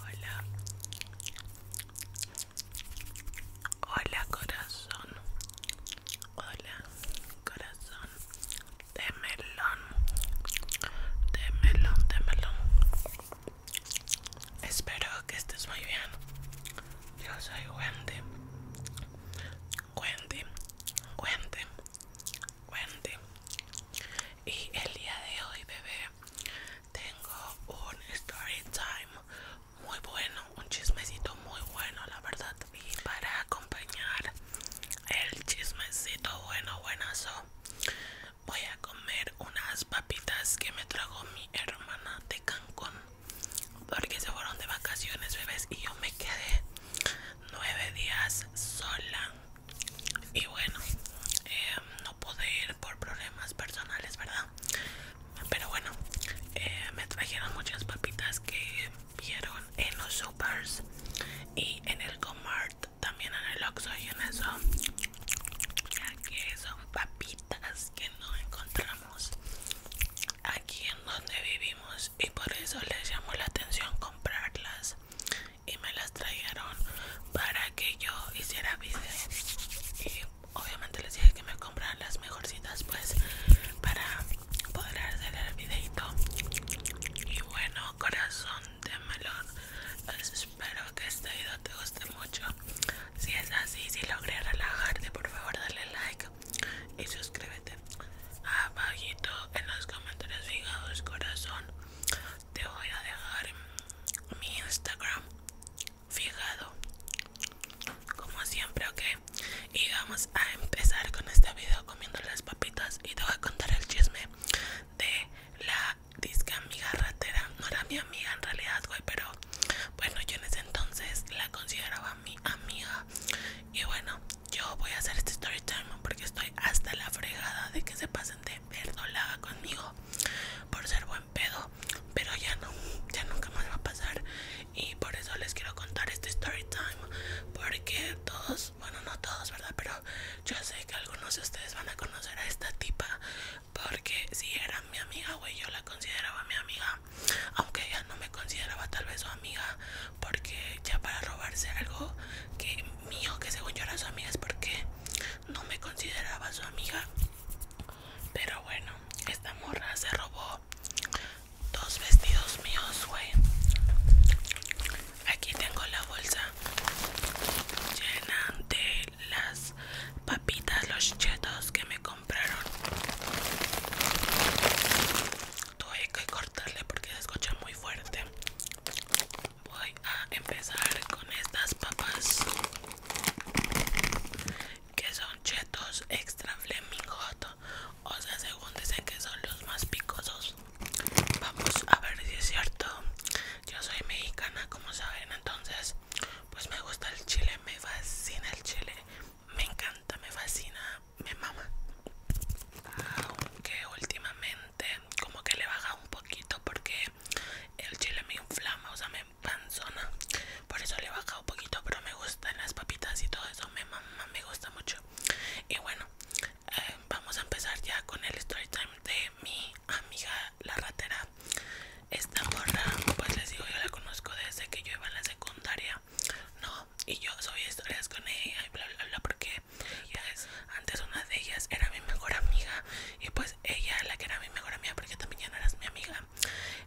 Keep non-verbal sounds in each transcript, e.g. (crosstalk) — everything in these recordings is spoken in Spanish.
Hola. Hola corazón. Hola corazón. De melón. De melón, de melón. Espero que estés muy bien. Yo soy Wendy. Wendy. Wendy y el día de hoy bebé tengo un story time muy bueno un chismecito muy bueno la verdad y para acompañar el chismecito bueno buenazo voy a comer unas papitas que me trajo mi hermana de Cancún porque se fueron de vacaciones bebés y yo me quedé nueve días sola y bueno em, no pude ir por problemas personales verdad pero bueno em, me trajeron muchas papitas que vieron en los supers y en el Comart también en el oxo y en eso ya que son papitas que no encontramos aquí en donde vivimos y por eso les llamó la atención comprarlas y me las trajeron para que yo hiciera video y obviamente les dije que me compraran las mejorcitas pues para poder hacer el videito y bueno corazón de melón espero que este video te guste mucho si es así si logré relajarte por favor dale like y suscríbete. Abajito en los comentarios fijados, corazón, te voy a dejar mi Instagram fijado, como siempre, ok. Y vamos a empezar con este video comiendo las papitas y te voy a contar el chisme de la disque amiga ratera. No era mi amiga en realidad, güey, pero bueno, yo en ese entonces la consideraba mi amiga. Y bueno, yo voy a hacer este story time porque estoy hasta la fregada de que se pasen de verdolada conmigo por ser buen pedo, pero ya no, ya nunca más va a pasar y por eso les quiero contar este story time porque todos, bueno no todos verdad, pero yo sé que algunos de ustedes van a conocer a esta tipa porque si era mi amiga güey yo la consideraba mi amiga aunque ella no me consideraba tal vez su amiga porque ya para robarse algo que mío que según yo era su amiga es porque no me consideraba su amiga pero bueno esta morra se robó dos vestidos míos güey aquí tengo la bolsa llena de las papitas los chetos que me compraron tuve que cortarle porque escucha muy fuerte voy a empezar con estas papas que son chetos extra flaming o sea según dicen que son los más picosos vamos a ver si es cierto yo soy mexicana como saben entonces pues me gusta el chile me fascina el chile me encanta, me fascina, me mama. Aunque últimamente como que le baja un poquito porque el chile me inflama, o sea, me panzona, Por eso le baja un poquito, pero me gustan las papitas y todo eso, me mama, me gusta mucho. Y bueno, eh, vamos a empezar ya con el story time de mi amiga la ratera. Esta morra, pues les digo, yo la conozco desde que yo iba a la secundaria. No, y yo soy historias con ella y bla bla bla porque antes una de ellas era mi mejor amiga y pues ella la que era mi mejor amiga porque también ya no eras mi amiga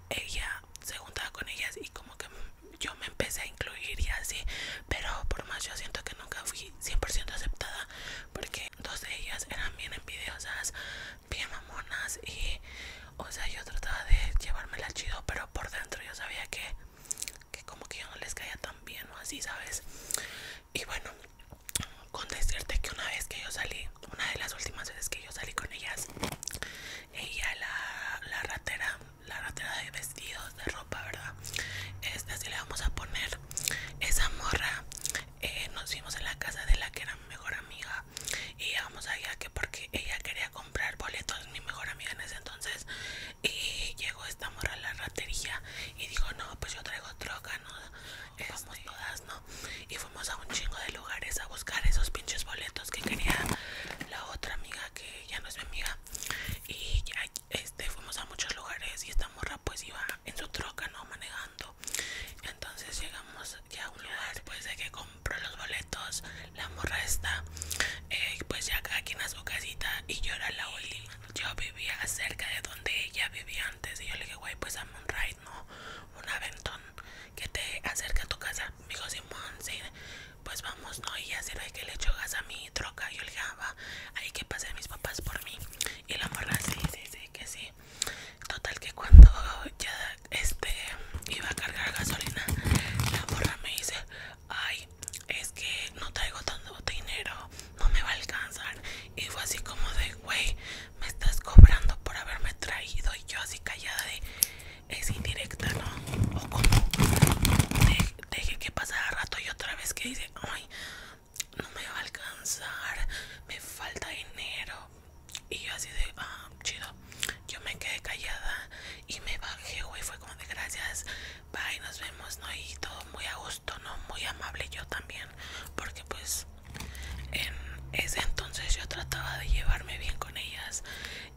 ella se juntaba con ellas y como que yo me empecé a incluir y así pero por más yo siento que nunca fui 100% aceptada porque dos de ellas eran bien envidiosas bien mamonas y o sea yo trataba de llevármela chido pero por dentro yo sabía que que como que yo no les caía tan bien o así, ¿sabes? Y bueno, con decirte que una vez que yo salí, una de las últimas veces que yo salí con ellas, ella, la, la ratera, la ratera de vestidos, de ropa, ¿verdad? Esta sí le vamos a poner esa morra. Eh, nos vimos en la casa de la que era mi mejor amiga y vamos allá que porque ella quería comprar boletos mi mejor amiga en ese entonces y llegó esta morra a la ratería y dijo no pues yo traigo troca no esas vamos todas no y fuimos a un chingo de lugares a buscar esos pinches boletos que quería la otra amiga que ya no es mi amiga y este fuimos a muchos lugares y esta morra pues iba en su troca no manejando entonces llegamos ya un lugar después pues, de que compró los boletos la morra está eh, pues ya aquí en su casita y yo era la última yo vivía cerca de donde ella vivía antes y yo le dije güey pues a un no un aventón que te acerca a tu casa me dijo Simón pues vamos no y ya será que le echó gas a mi troca yo le dije ah, va ahí que a mis papás por mí y la morra sí sí sí que sí total que cuando ya este iba a cargar gasolina la morra me dice ay, es que no traigo tanto dinero, no me va a alcanzar. Y fue así como de, güey, me estás cobrando por haberme traído. Y yo así callada de, es indirecta, ¿no? O como, deje que pasara rato y otra vez que dice, ay, no me va a alcanzar, me falta dinero. Y yo así de, ah, chido, yo me quedé callada y me bajé, güey. Fue como de gracias, bye, nos vemos, ¿no? Y todo muy a gusto, ¿no? Muy amable yo también. Porque pues en ese entonces yo trataba de llevarme bien con ellas.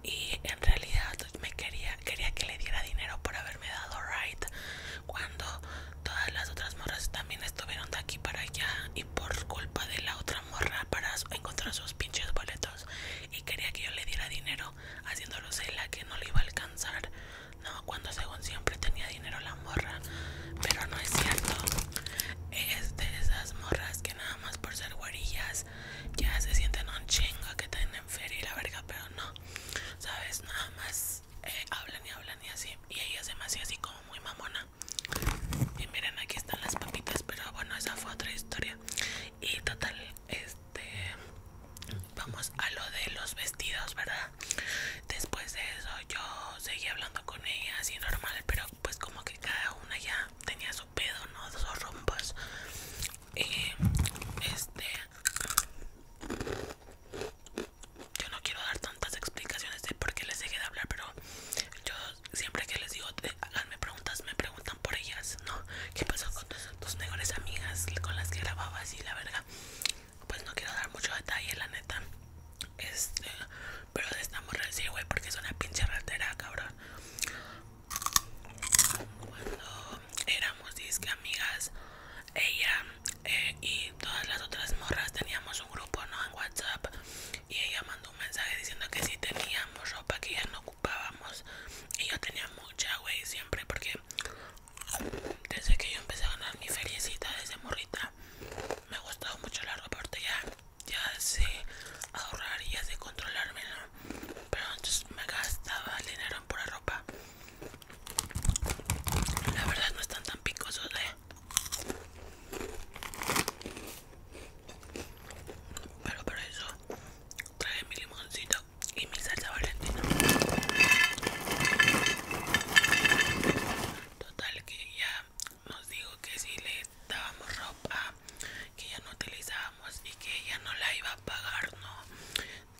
Y en realidad me quería, quería que le diera dinero por haberme dado right. Cuando todas las otras morras también estuvieron de aquí para allá. Y por culpa de la otra morra para encontrar sus pinches boletos. Y quería que yo le diera dinero haciéndolo la que no le iba a alcanzar, no, cuando según siempre tenía dinero la morra, pero no es cierto. Es de esas morras que nada más por ser guarillas ya se sienten un chingo que tienen feria y la verga, pero no, sabes, nada más eh, hablan y hablan y así, y ella se me hacía así como muy mamona. Y miren, aquí están las papitas, pero bueno, esa fue otra historia y total este vamos a lo de los vestidos verdad después de eso yo seguí hablando con ella así normal pero pues como que cada una ya tenía su pedo no Sus rumbos. Y, eh, este yo no quiero dar tantas explicaciones de por qué les dejé de hablar pero yo siempre que les digo háganme preguntas me preguntan por ellas, ¿no? ¿Qué pasó con tus, mejores amigas con las que grababas y la verga? Pues no quiero dar mucho detalle, la neta. Este, pero de esta güey, porque es una pinche ratera, cabrón. Cuando éramos disque amigas, ella eh, y todas las otras morras teníamos un grupo, ¿no? En WhatsApp. Y ella mandó un mensaje diciendo que si teníamos ropa que ya no y yo tenía mucha wey siempre porque desde que yo empecé a ganar mi feriecita desde morrita me ha gustado mucho la ropa ya, ya sé ahorrar y ya sé controlarme pero antes me gastaba el dinero en pura ropa la verdad no están tan picosos ¿eh? pero por eso trae mi limoncito y mi salsa valentina total que ya nos dijo que si le dábamos ropa que ya no utilizábamos y que ella no la iba a pagar no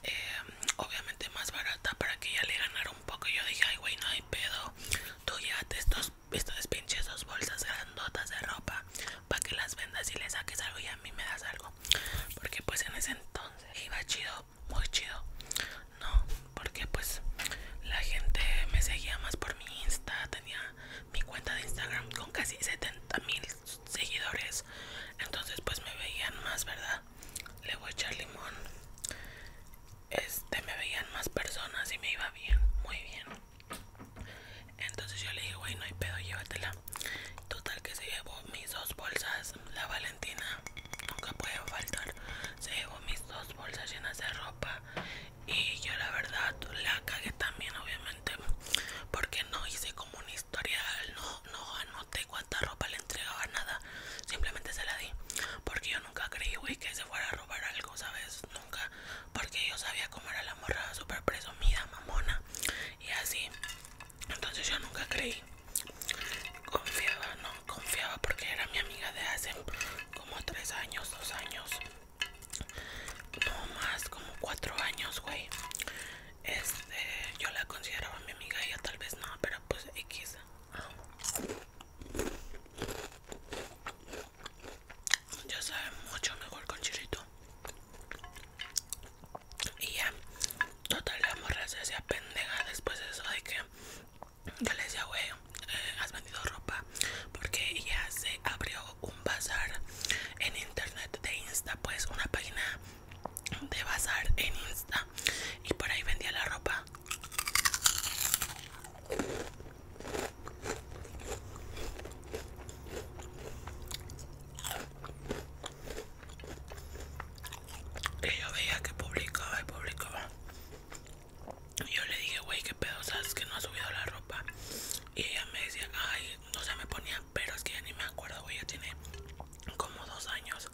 em, obviamente más barata para que ella le ganara un poco yo dije ay güey no hay pedo tú ya estos, estos pinches bolsas grandotas de ropa para que las vendas y le saques algo y a mí me das algo porque pues en ese entonces iba chido muy chido no porque pues la gente me seguía más por mi insta tenía mi cuenta de instagram con casi 70 mil seguidores entonces pues me veían más verdad le voy a echar limón este me veían más personas y me iba bien muy bien entonces yo le dije, güey, no hay pedo, llévatela. Total que se llevó mis dos bolsas. La Valentina nunca puede faltar. Se llevó mis dos bolsas llenas de ropa. Y yo la verdad la cagué también, obviamente. Porque no hice como un historial. No, no anoté cuánta ropa le entregaba, nada. Simplemente se la di. Porque yo nunca creí, güey, que se fuera a robar algo, ¿sabes? Nunca porque yo sabía cómo era la morra súper presumida, mamona y así. Entonces yo nunca creí. Confiaba, no, confiaba porque era mi amiga de hace como tres años, dos años. No más, como cuatro años, güey. Este, yo la consideraba mi amiga, ella tal vez no, pero pues X ya sabe mucho mejor con chilito y ya total la morra se pendeja después de eso de que yo le decía wey eh, has vendido ropa porque ya se abrió un bazar en internet de insta pues una página de bazar en insta y por ahí vendía la ropa yo veía que publicaba y publicaba. Yo le dije, güey, qué pedo, sabes que no ha subido la ropa. Y ella me decía, ay, no se me ponía, pero es que ya ni me acuerdo, güey, ya tiene como dos años.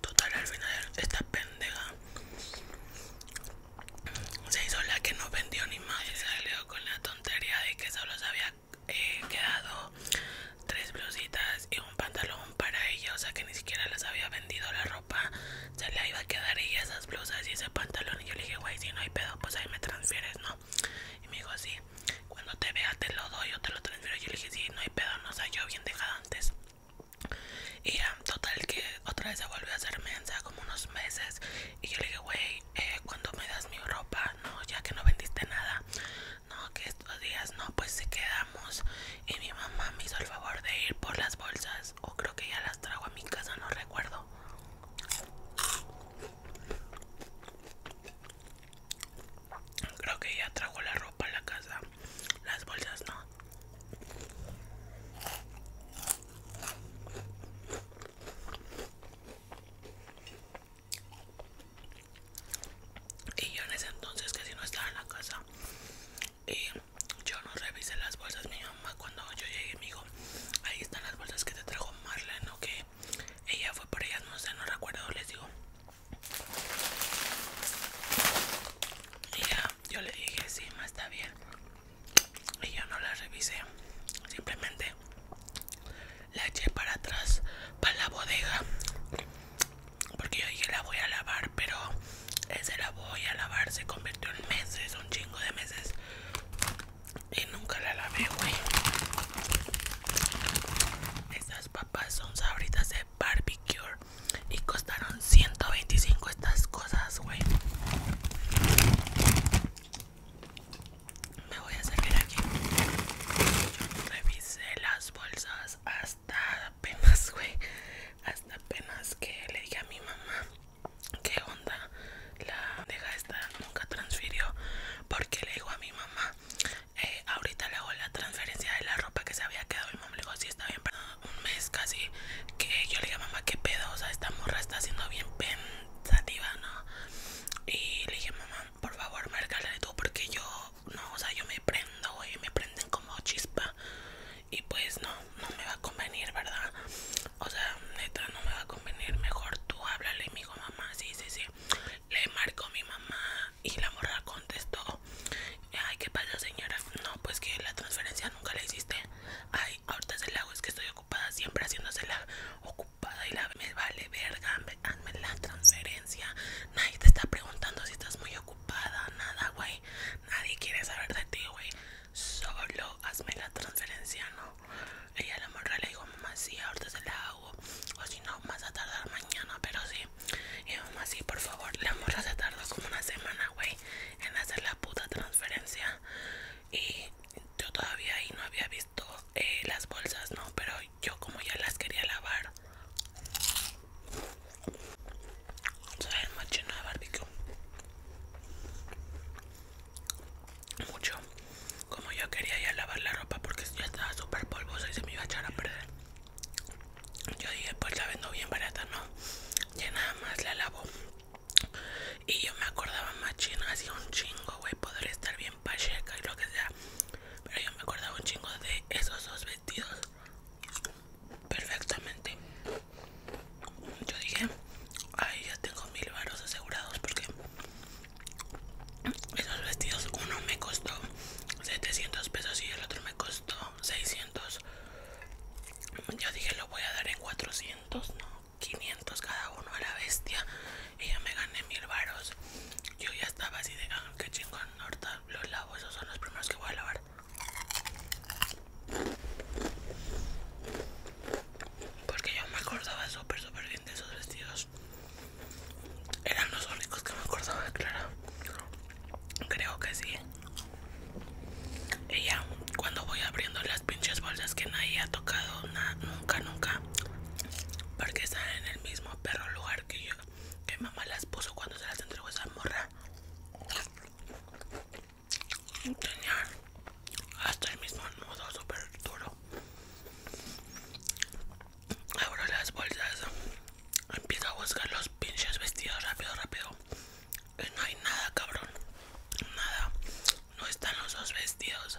Total, al final esta pendeja se hizo la que no vendió ni más y salió con la tontería de que solo se había eh, quedado tres blusitas y un pantalón para ella, o sea que ni siquiera les había vendido la ropa, se le iba a quedar ella esas blusas y ese pantalón y yo le dije, güey, si no hay pedo, pues ahí me transfieres, ¿no? y me dijo así cuando te vea te lo doy yo te lo transfiero yo le dije sí no hay pedo no sé yo bien dejado antes y total que otra vez se volvió a hacer mensa como unos meses y yo le dije güey eh, cuando me das mi ropa no ya que no vendiste nada no que estos días no pues se quedamos y mi mamá me hizo el favor de ir por las bolsas o creo que ya las trago a mi casa no recuerdo Creo que ella trajo la ropa a la casa. Las bolsas no. Y yo en ese entonces casi no estaba en la casa. Y yo no revisé las bolsas. Mi mamá cuando yo llegué me dijo, ahí están las bolsas que te trajo Marlene o que ella fue por ellas, no sé, no recuerdo, les digo. Y ya, yo le dije, sí, más está bien. Y yo no la revisé. Simplemente la eché para atrás, para la bodega. Porque yo dije, la voy a lavar, pero ese la voy a lavar se convirtió en meses, un chingo de meses. Y nunca la lavé, güey. Estas papas son sabritas de barbecue. Y costaron 125 estas cosas, güey. Me voy a salir aquí. revisé las bolsas hasta apenas, güey. Hasta apenas que le dije a mi mamá qué onda la deja esta nunca transfirió porque le digo a mi mamá eh, ahorita le hago la transferencia de la ropa que se había quedado mi mamá le dijo sí está bien un mes casi que yo le dije mamá qué pedo o sea esta morra está siendo bien pensativa no y le dije mamá por favor márcale tú porque yo no o sea yo me prendo güey me prenden como chispa y pues no no me va a convenir verdad o sea neta no me va a convenir mejor tú háblale y me mamá sí sí sí le marcó mi mamá y la morra contestó ay qué pasa señora no pues que la transferencia nunca la hiciste ay ahorita se la hago es que estoy ocupada siempre haciéndosela ocupada y la me vale verga hazme la transferencia nadie te está preguntando si estás muy ocupada nada güey nadie quiere saber de ti güey solo hazme la transferencia no ella la morra le dijo, mamá, si ahorita se la hago. O si no, más a tardar mañana, pero si Y mamá, sí, por favor. La morra se tardó como una semana, güey, en hacer la puta transferencia. Y yo todavía ahí no había visto eh, las bolsas, ¿no? Pero yo como ya las quería lavar. Soy el machino de barbecue mucho como yo quería ya lavar la ropa porque ya estaba súper polvosa y se me iba a echar a perder yo dije pues la vendo bien barata no ya nada más la lavo y yo me acordaba más chino así un chingo güey podría estar bien pacheca y lo que sea pero yo me acordaba un chingo de esos dos vestidos perfectamente yo dije Ahí ya tengo mil varos asegurados porque esos vestidos, uno me costó 700 pesos y el otro me costó 600. Yo dije, lo voy a dar en 400, no, 500 cada uno a la bestia. Y yo me gané mil varos. Yo ya estaba así de, ah, que chingón, los lavo, esos son los primeros que voy a lavar. Porque yo me acordaba súper, súper bien de esos vestidos. Eran los únicos que me acordaba de Clara. Creo que sí. Ella, cuando voy abriendo las pinches bolsas que nadie ha tocado, nunca, nunca. Porque están en el mismo perro lugar que yo, que mamá las puso cuando se las entregó esa morra. Tenía hasta el mismo nudo súper duro abro las bolsas empiezo a buscar los pinches vestidos rápido rápido eh, no hay nada cabrón nada no están los dos vestidos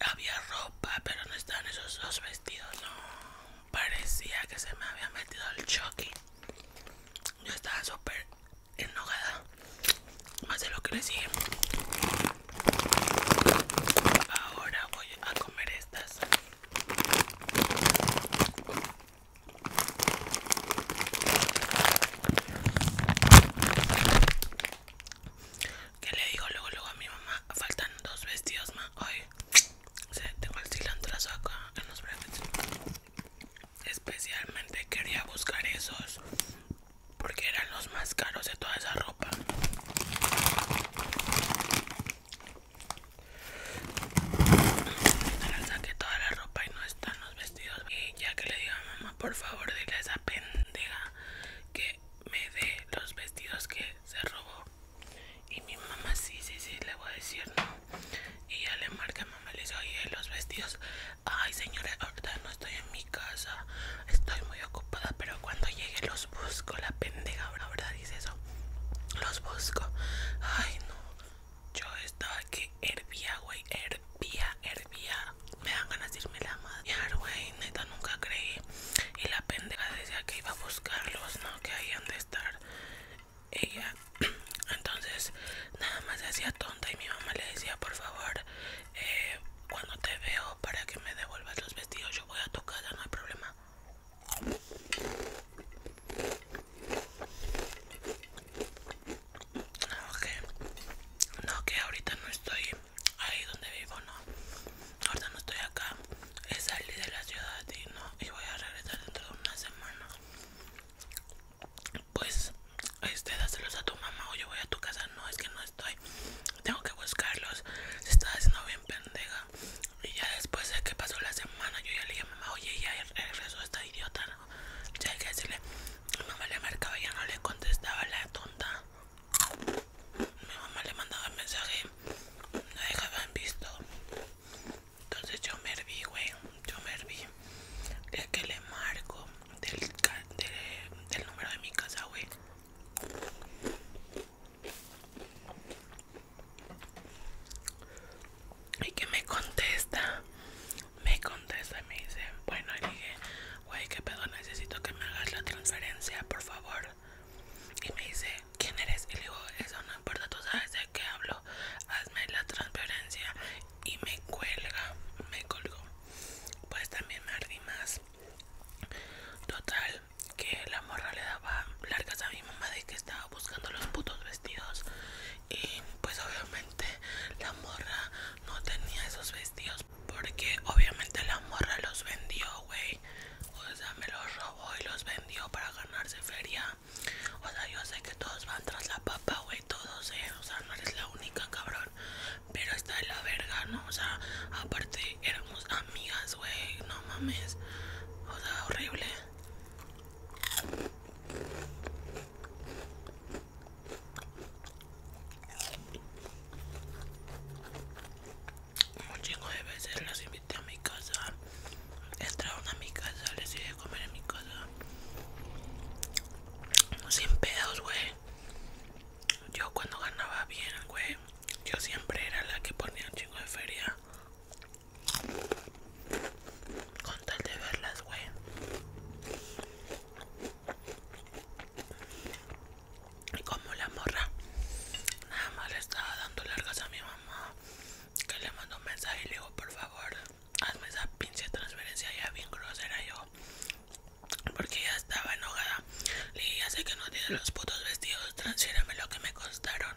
había ropa pero no están esos dos vestidos parecía que se me había metido el choque yo estaba súper enojada más de lo que le sigue Ahora voy a comer estas. ¿Qué le digo luego luego a mi mamá? Faltan dos vestidos más hoy. tengo el la acá en los brazos Especialmente quería buscar esos porque eran los más caros de toda esa ropa. Ahora saqué toda la ropa y no están los vestidos. Y ya que le digo a mamá, por favor, dile a esa pendeja que me dé los vestidos que se robó. Y mi mamá, sí, sí, sí, le voy a decir no. Y ya le marca a mamá, le dice, oye, los vestidos. Ay, señores, ahorita estoy en mi casa, estoy muy ocupada, pero cuando llegue los busco, la pendeja, la verdad dice eso, los busco, ay no, yo estaba que hervía, güey, hervía, hervía, me dan ganas de irme la madre, güey, neta nunca creí, y la pendeja decía que iba a buscarlos, no, que ahí han de estar, ella, (clears throat) entonces nada más se hacía tonta y mi mamá le decía, por favor, cuando te veo para que me devuelvas los vestidos yo voy a tu casa, no hay problema. No, que No, que ahorita no estoy ahí donde vivo, no. Ahorita no estoy acá. He salido de la ciudad y no. Y voy a regresar dentro de una semana. Pues, este, dáselos a tu mamá o yo voy a tu casa. No, es que no estoy tengo que buscarlos. Se está haciendo bien pendeja. Y ya después de que pasó la semana, yo ya le dije oye, ya regresó esta idiota. ¿no? Ya hay que decirle, mi mamá le marcaba, ya no le contestaba la tonta. Mi mamá le mandaba mensaje, la dejaban visto. Entonces yo me herví, güey. Yo me herví. De que le marco del, del, del número de mi casa, güey. Y que me contesta, me contesta y me dice, bueno, y dije, güey, qué pedo, necesito que me hagas la transferencia, por favor. Y me dice, ¿quién eres? Y le digo, eso no importa, tú sabes de qué hablo, hazme la transferencia. Y me cuelga, me colgo Pues también me ardí más. Total, que la morra le daba largas a mi mamá de que estaba buscando los putos vestidos. Y pues obviamente la morra no tenía esos vestidos. Porque obviamente la morra los vendió, güey. O sea, me los robó y los vendió para ganarse feria. O sea, yo sé que todos van tras la papa, güey. Todos, eh. O sea, no eres la única, cabrón pero está la verga, ¿no? O sea, aparte éramos amigas, güey, no mames. O sea, horrible. Un chingo de veces las invité a mi casa. Entraron a mi casa, les comer en mi casa. Sin pedos, güey yo cuando ganaba bien, güey, yo siempre era la que ponía un chingo de feria. Con tal de verlas, güey. Y como la morra nada más le estaba dando largas a mi mamá, que le mandó un mensaje y le digo, por favor, hazme esa pinche transferencia ya bien grosera yo. Porque ya estaba enojada. Le dije, ya sé que no tienes los putos vestidos, transfierame lo que me costaron.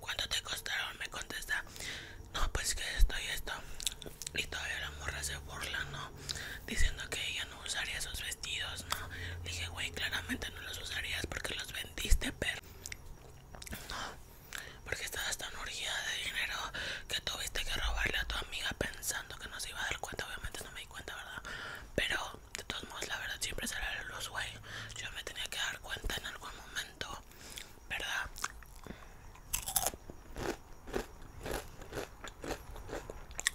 ¿Cuánto te costaron? Me contesta. No, pues que esto y esto. Y todavía la morra se burla, ¿no? Diciendo que ella no usaría esos vestidos, ¿no? Le dije, güey, claramente no los usarías porque los vendiste, pero... No, porque estabas tan urgida de dinero que tuviste que robarle a tu amiga pensando que no se iba a dar cuenta. Obviamente no me cuenta, ¿verdad? Pero de todos modos, la verdad siempre sale los güey. Yo me tenía que dar cuenta en algún momento, ¿verdad?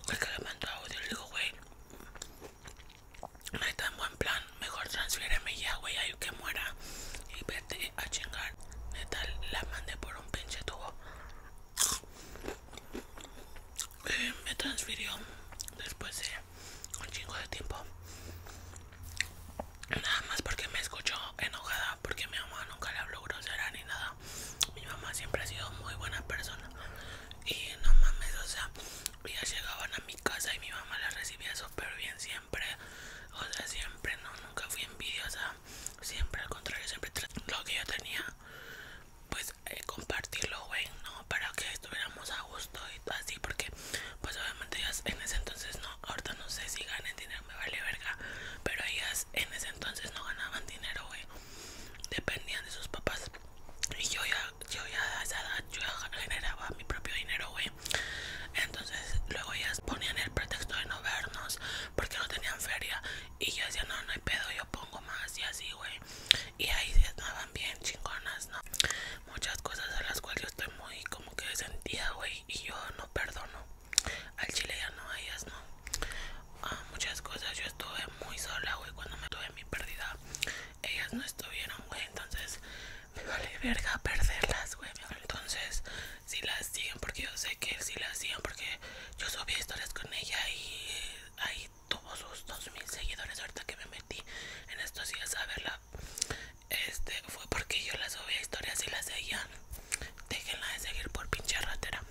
El que le mando audio digo, wey no hay tan buen plan. Mejor transfiereme ya, güey, Hay que muera. Y vete a chingar. Neta, la mandé por un pinche tubo. Eh, me transfirió después de un chingo de tiempo. Nada más porque me escuchó enojada, porque mi mamá nunca le habló grosera ni nada. Mi mamá siempre ha sido muy buena persona. Y no mames, o sea, ya llegaban a mi casa y mi mamá la recibía súper bien siempre. O sea, siempre, no, nunca fui envidiosa. Siempre, al contrario, siempre lo que yo tenía, pues pues, eh, compartirlo güey no para que estuviéramos a gusto y todo así porque pues obviamente ellas en ese entonces no ahorita no sé si ganen dinero me vale verga pero ellas en ese entonces no ganaban dinero güey dependían de sus papás y yo ya yo ya a esa edad yo ya generaba mi propio dinero güey entonces luego ellas ponían el pretexto de no vernos porque no tenían feria y yo decía, no, no hay pedo, yo pongo más y así, güey. Y ahí se estaban bien chingonas, ¿no? Muchas cosas a las cuales yo estoy muy como que sentida, güey. Y yo no perdono. Al chile ya no, a ellas no. Ah, muchas cosas, yo estuve muy sola, güey. Cuando me tuve mi pérdida, ellas no estuvieron, güey. Entonces, me vale verga perderlas, güey. Entonces, si las siguen, porque yo sé que si las siguen, porque yo subí historias con ella y ahí tuvo sus 2000 seguidores ahorita que me metí en estos días a verla este fue porque yo la subía historias y la seguían déjenla de seguir por pinche ratera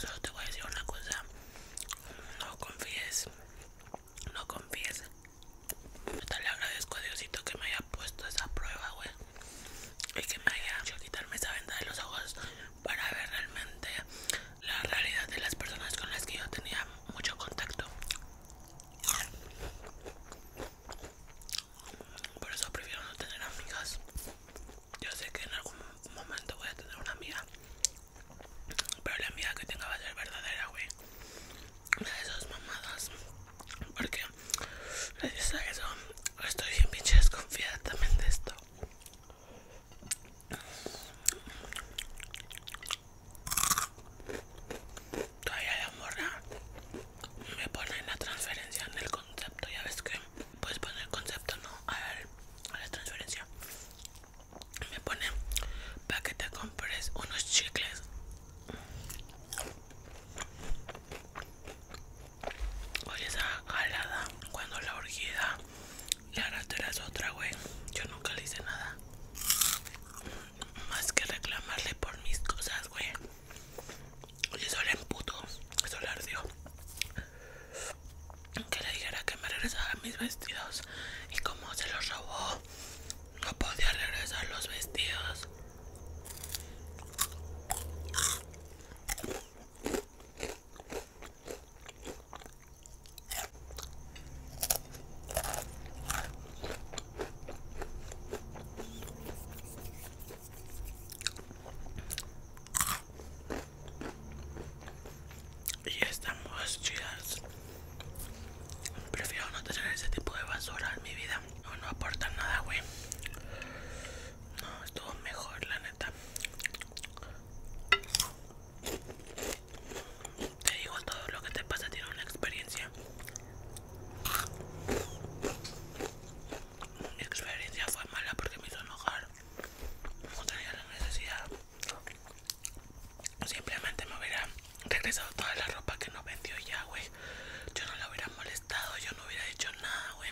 solo te voy a decir una cosa no confíes no confíes le agradezco a Diosito que me haya puesto esa prueba, güey. Y que me haya hecho quitarme esa venda de los ojos para ver realmente la realidad de las personas con las que yo tenía mucho contacto. Por eso prefiero no tener amigas. Yo sé que en algún momento voy a tener una amiga. Pero la amiga que tenga va a ser verdadera, güey. Una de esas mamadas porque estoy bien pinche desconfiada también de esto todavía la morra me pone la transferencia en el concepto ya ves que puedes poner concepto no a, a la transferencia me pone para que te compres unos chicles Oye, esa jalada cuando la orgida le eres otra, güey. Yo nunca le hice nada. Más que reclamarle por mis cosas, güey. Oye, eso le emputó. Eso le ardió. Que le dijera que me regresara mis vestidos. Y como se los robó, no podía regresar los vestidos. Y estamos chidas. Prefiero no tener ese tipo de basura en mi vida. No, no aporta nada, güey. No, estuvo mejor, la neta. Te digo, todo lo que te pasa tiene una experiencia. Mi experiencia fue mala porque me hizo enojar. No tenía la necesidad. Simplemente me hubiera regresado toda la ropa que no vendió ya, güey. Yo no la hubiera molestado, yo no hubiera dicho nada, güey.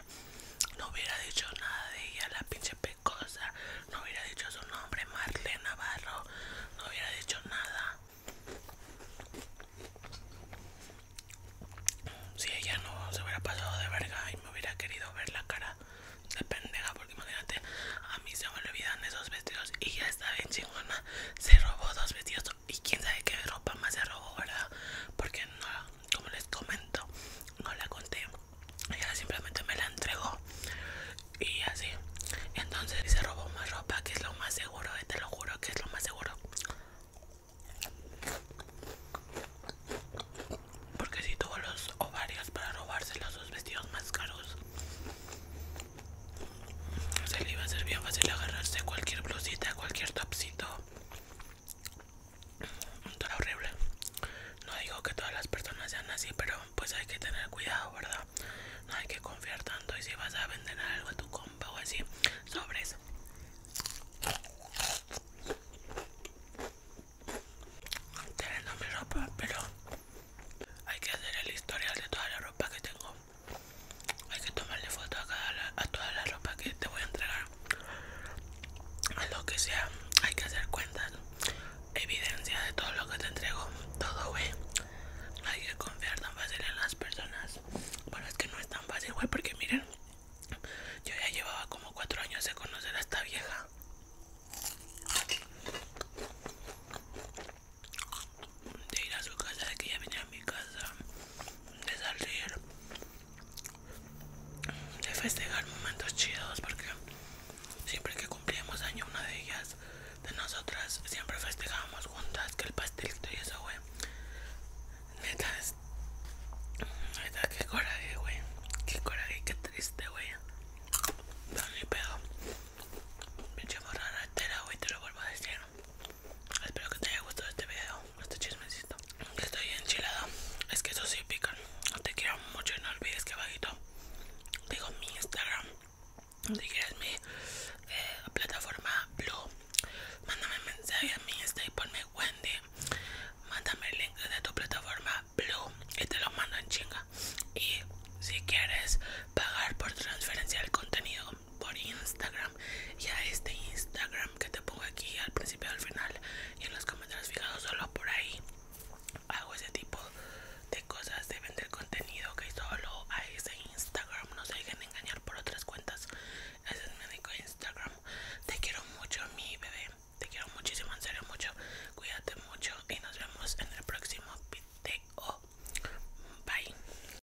No hubiera dicho nada de ella, la pinche pecosa. No hubiera dicho su nombre, Marlene Navarro. No hubiera dicho nada. Si ella no se hubiera pasado de verga y me hubiera querido ver la cara de pendeja, porque imagínate, a mí se me olvidan esos vestidos y ya está bien chingona. Se robó dos vestidos y quién sabe qué ropa más se robó, ¿verdad? Porque no, como les comento, no la conté. Ella simplemente me la entregó y así. Entonces se robó más ropa, que es lo más seguro, eh, te lo juro que es lo más seguro. Porque si tuvo los ovarios para robarse los vestidos más caros se le iba a ser bien fácil agarrarse cualquier blusita, cualquier topsito. toro horrible. No digo que todas las personas sean así, pero pues hay que tener cuidado, ¿verdad? No hay que confiar tanto y si vas a vender algo a tu compa o así, sobres. Teniendo mi ropa, pero hay que hacer el historial de toda la ropa que tengo hay que tomarle foto a, cada toda la ropa que te voy a entregar a lo que sea hay que hacer cuentas evidencia de todo lo que te entrego todo güey hay que confiar tan fácil en las personas bueno es que no es tan fácil güey porque miren yo ya llevaba como cuatro años de conocer a esta vieja de ir a su casa, de que ella viniera a mi casa, de salir, de festejar momentos chidos, porque siempre que cumplíamos año, una de ellas, de nosotras, siempre festejábamos juntas, que el pastelito y eso, güey. Neta, es, neta, qué coraje, güey, qué coraje, qué triste, güey. Pero ni pedo, pinche morra ratera, güey, te lo vuelvo a decir. Espero que te haya gustado este video, este chismecito. Estoy enchilado, es que eso sí pican. Te quiero mucho y no olvides que bajito digo mi Instagram. Si quieres mi eh, plataforma Blue, mándame mensaje a mi Insta este, y ponme Wendy. Mándame el link de tu plataforma Blue y te lo mando en chinga. Y si quieres pagar por transferencia del contenido, por Instagram y a este Instagram que te pongo aquí al principio al final y en los comentarios fijados solo por ahí hago ese tipo de cosas de vender contenido que solo a ese Instagram no se dejen engañar por otras cuentas ese es mi único Instagram te quiero mucho mi bebé te quiero muchísimo en serio mucho cuídate mucho y nos vemos en el próximo video bye